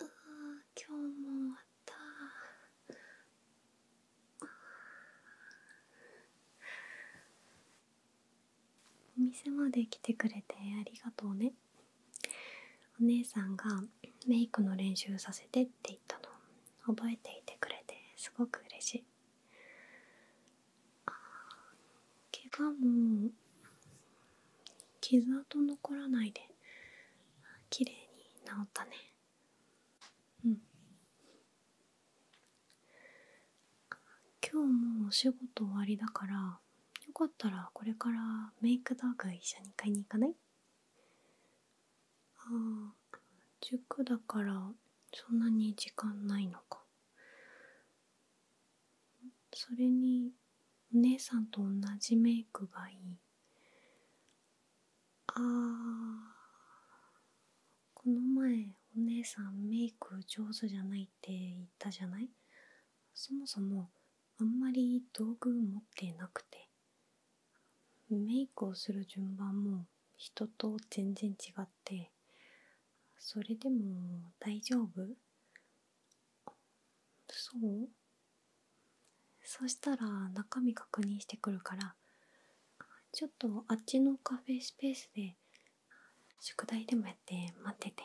あ今日も終わったお店まで来てくれてありがとうねお姉さんがメイクの練習させてって言ったの覚えていてくれてすごく嬉しいあ怪我も傷跡残らないで綺麗に治ったねうん今日もお仕事終わりだからよかったらこれからメイク道具一緒に買いに行かないああ塾だからそんなに時間ないのかそれにお姉さんと同じメイクがいいあこの前お姉さんメイク上手じゃないって言ったじゃないそもそもあんまり道具持ってなくてメイクをする順番も人と全然違ってそれでも大丈夫そうそしたら中身確認してくるからちょっとあっちのカフェスペースで宿題でもやって待ってて、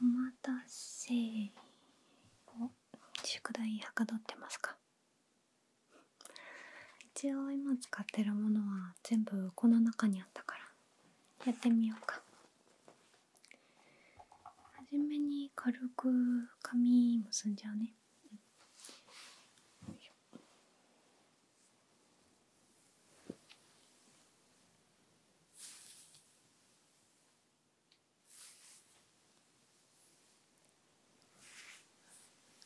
お待たせお宿題はかどってますか一応今使ってるものは全部この中にあったからやってみようかはじめに軽く紙結んじゃうねよいしょ。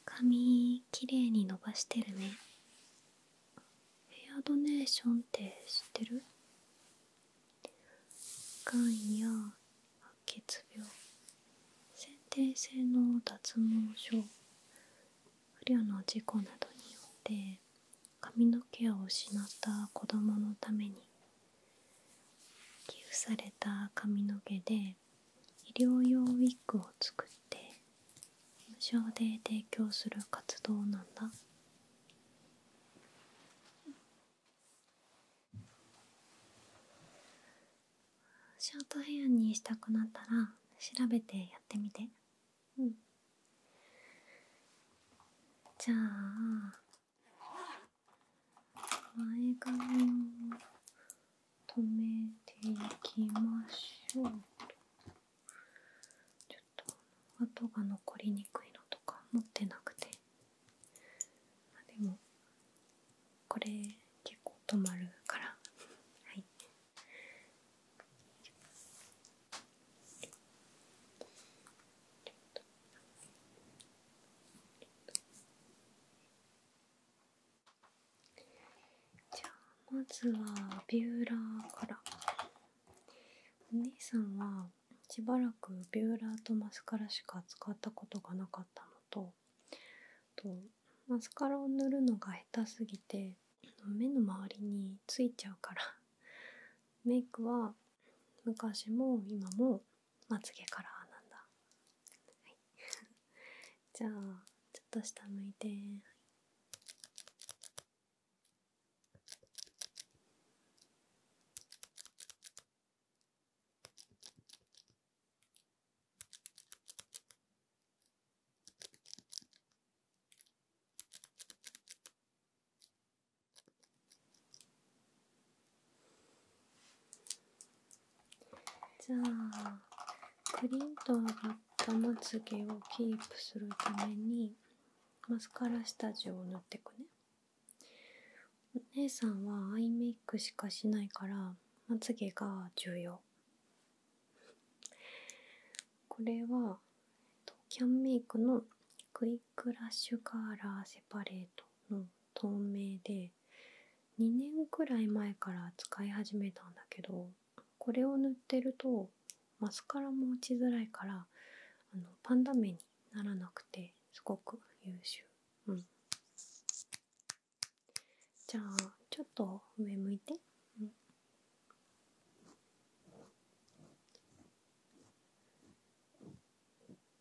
髪きれいに伸ばしてるねヘアドネーションって知ってるがんや白血病先天性の脱毛症不慮の事故などによって髪の毛を失った子供のために寄付された髪の毛で医療用ウィッグを作って無償で提供する活動なんだショートヘアにしたくなったら調べてやってみてうんじゃあ前髪を止めていきましょうちょっと跡が残りにくいのとか持ってなくてでもこれ結構止まるからはいじゃあまずはビューラーからお姉さんはしばらくビューラーとマスカラしか使ったことがなかったのとマスカラを塗るのが下手すぎて目の周りについちゃうからメイクは昔も今もまつげカラーなんだ、じゃあちょっと下向いて、はい、じゃあクリンと上がったまつげをキープするためにマスカラ下地を塗ってくねお姉さんはアイメイクしかしないからまつげが重要これはキャンメイクのクイックラッシュカーラーセパレートの透明で2年くらい前から使い始めたんだけどこれを塗ってるとマスカラも落ちづらいからあのパンダ目にならなくてすごく優秀。うん、じゃあちょっと上向いて。うん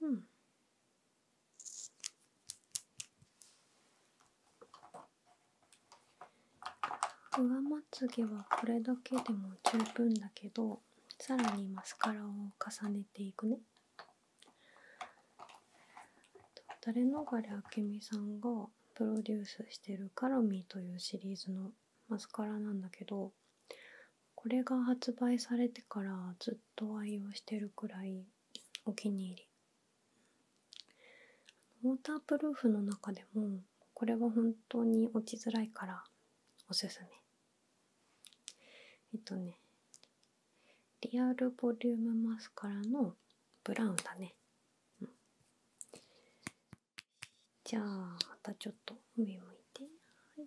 うん。上まつげはこれだけでも十分だけどさらにマスカラを重ねていくね誰のがりあけみさんがプロデュースしてるカラミーというシリーズのマスカラなんだけどこれが発売されてからずっと。ずっ用してるくらいお気に入りウォータープルーフの中でもこれは本当に落ちづらいからおすすめえっとねリアルボリュームマスカラのブラウンだね、うん、じゃあまたちょっと上向いてはい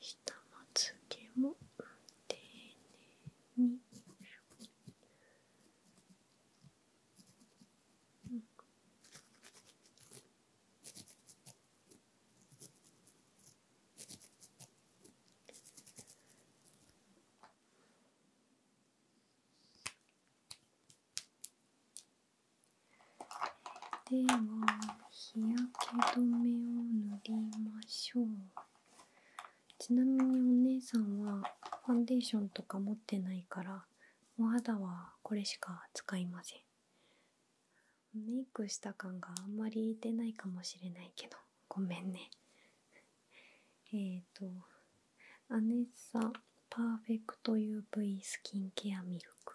下まつげも丁寧に、うん、では日焼け止めを塗りましょうちなみにお姉さんはファンデーションとか持ってないからお肌はこれしか使いませんメイクした感があんまり出ないかもしれないけどごめんねえっとアネッサパーフェクト UV スキンケアミルク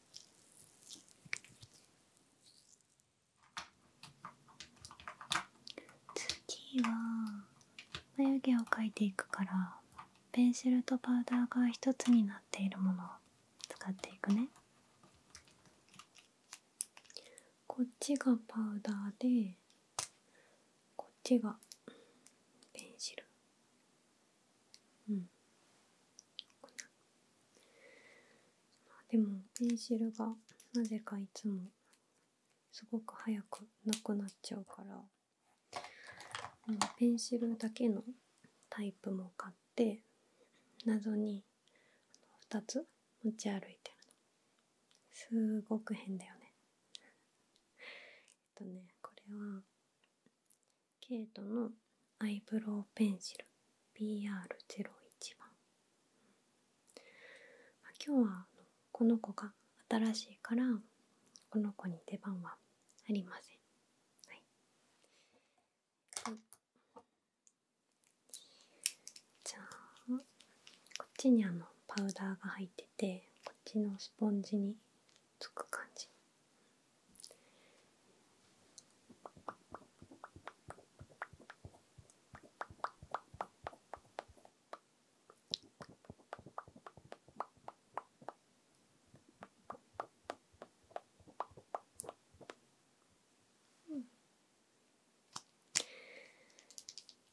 次は眉毛を描いていくからペンシルとパウダーが1つになっているものを使っていくねこっちがパウダーでこっちがペンシルうんでもペンシルがなぜかいつもすごく早くなくなっちゃうから、ペンシルだけのタイプも買って謎に2つ持ち歩いてるのすごく変だよねえっとねこれはケイトのアイブロウペンシル BR01 番今日はこの子が新しいからこの子に出番はありません、はい、じゃあこっちにあのパウダーが入っててこっちのスポンジにつく感じ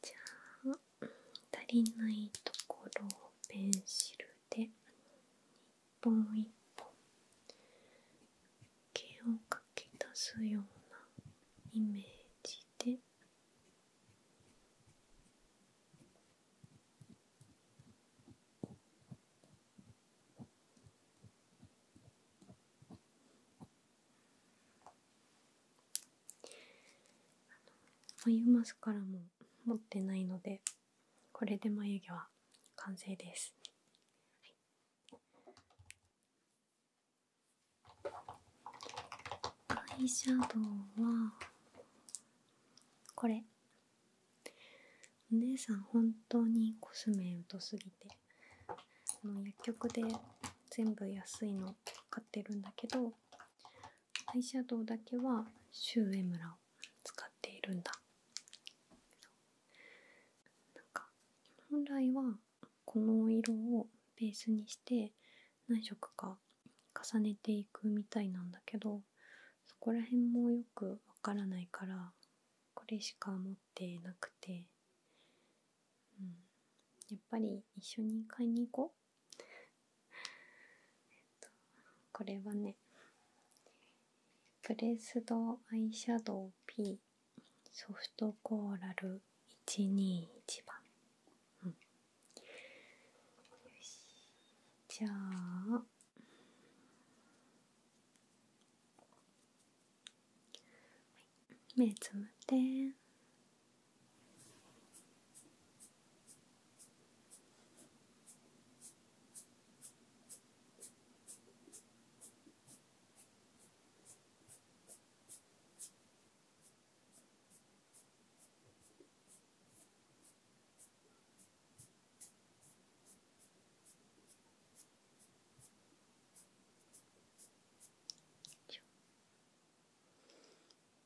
ゃあ足りないところをペンシルで本一本毛をかき出すようなイメージであのオイルマスカラも持ってないのでこれで眉毛は完成です、アイシャドウはこれお姉さん本当にコスメ疎すぎてあの薬局で全部安いの買ってるんだけどアイシャドウだけはシュウエムラを使っているんだか本来はこの色をベースにして何色か重ねていくみたいなんだけどそこら辺もよくわからないからこれしか持ってなくて、やっぱり一緒に買いに行こう これはねプレスドアイシャドウ P ソフトコーラル121番、うん、よしじゃあ目つむって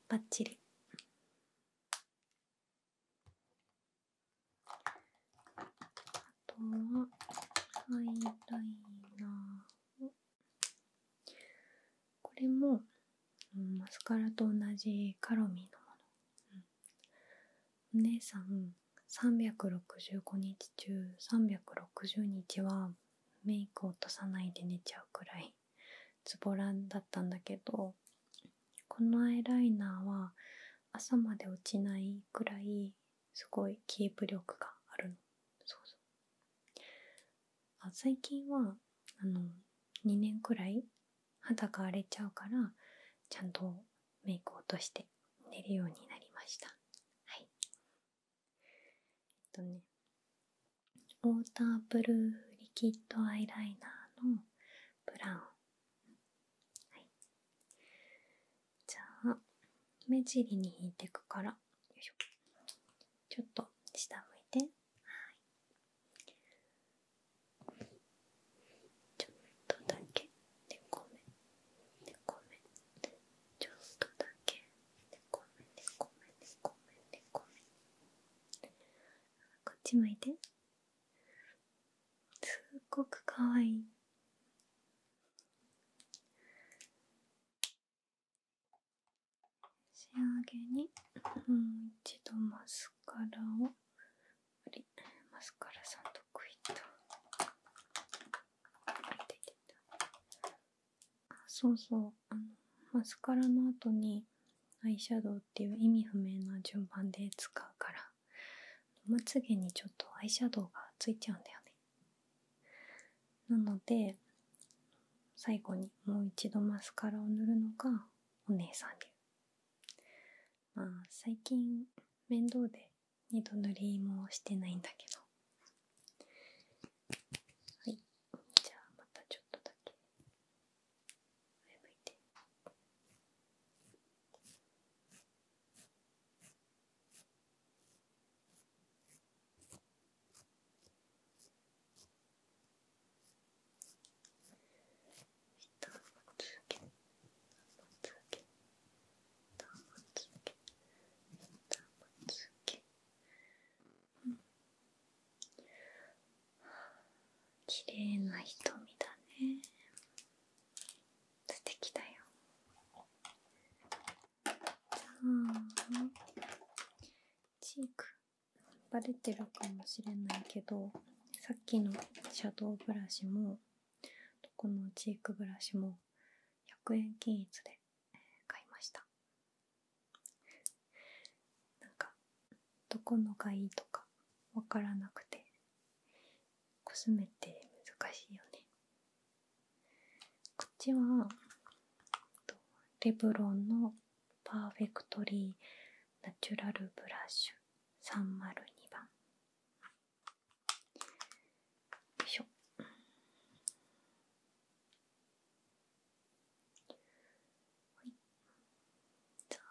バッチリあとはハイライナーをこれも、マスカラと同じカロミーのもの、お姉さん365日中360日はメイク落とさないで寝ちゃうくらいズボラだったんだけどこのアイライナーは朝まで落ちないくらいすごいキープ力があるのそうそうあ最近はあの2年くらい肌が荒れちゃうからちゃんとメイク落として寝るようになりましたはいえっとねウォーターブルーリキッドアイライナーのブラウンはい、じゃあ目尻に引いてくからよいしょちょっと下向いてはいちょっとだけで、目め、目ちょっとだけ猫目猫目猫目猫目こっち向いてすっごくかわいい仕上げにもう一度マスカラをマスカラさんどこ行っあそうそうあのマスカラの後にアイシャドウっていう意味不明な順番で使うからまつ毛にちょっとアイシャドウがついちゃうんだよねなので最後にもう一度マスカラを塗るのがお姉さん流まあ最近面倒で二度塗りもしてないんだけどはいじゃあまたちょっとだけ前向いて一まつ綺麗な瞳だね素敵だよチークバレてるかもしれないけどさっきのシャドウブラシもどこのチークブラシも100円均一で買いましたなんかどこのがいいとかわからなくてコスメって難しいよねこっちはレブロンのパーフェクトリーナチュラルブラッシュ302番よいしょはいじゃあ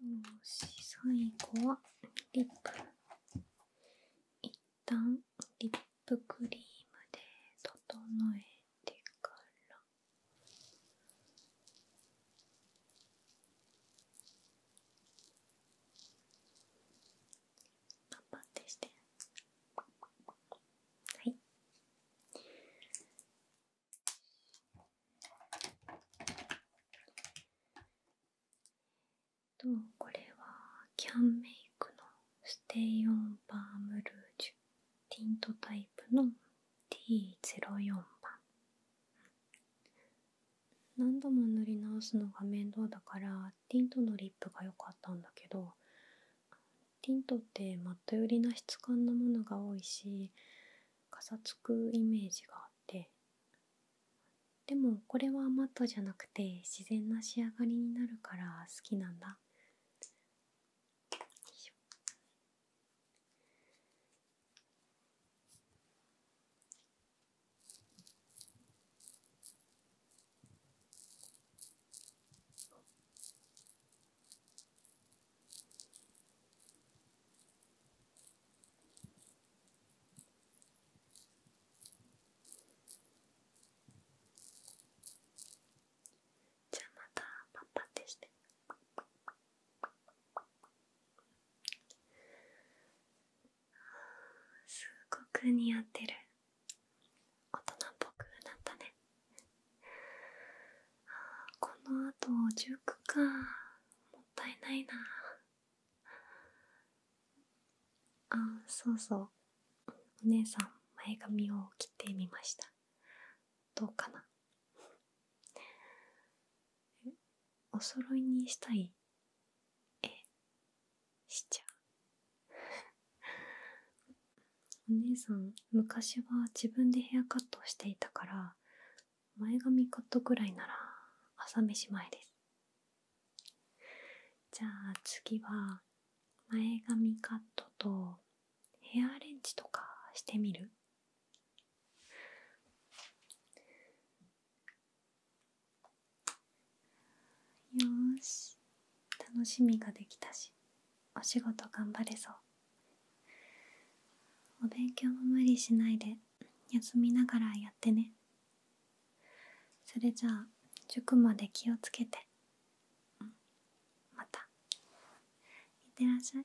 よし、最後はリップ。一旦リップクリームで整えてから。パンパンってして。はい。とこれはキャンメイクのステイオンバームルージュティントタイプの T04 番何度も塗り直すのが面倒だからティントのリップが良かったんだけどティントってマット寄りな質感のものが多いしかさつくイメージがあってでもこれはマットじゃなくて自然な仕上がりになるから好きなんだよいしょ。じゃあまたパッパってしてすごく似合ってる大人っぽくなったねこのあと塾かもったいないなあそうそうお姉さん前髪を切ってみましたどうかなお揃いにしたいえしちゃう お姉さん昔は自分でヘアカットをしていたから前髪カットぐらいなら朝飯前ですじゃあ次は前髪カットとヘアアレンジとかしてみるよし楽しみができたしお仕事頑張れそうお勉強も無理しないで休みながらやってねそれじゃあ塾まで気をつけて、またいってらっしゃい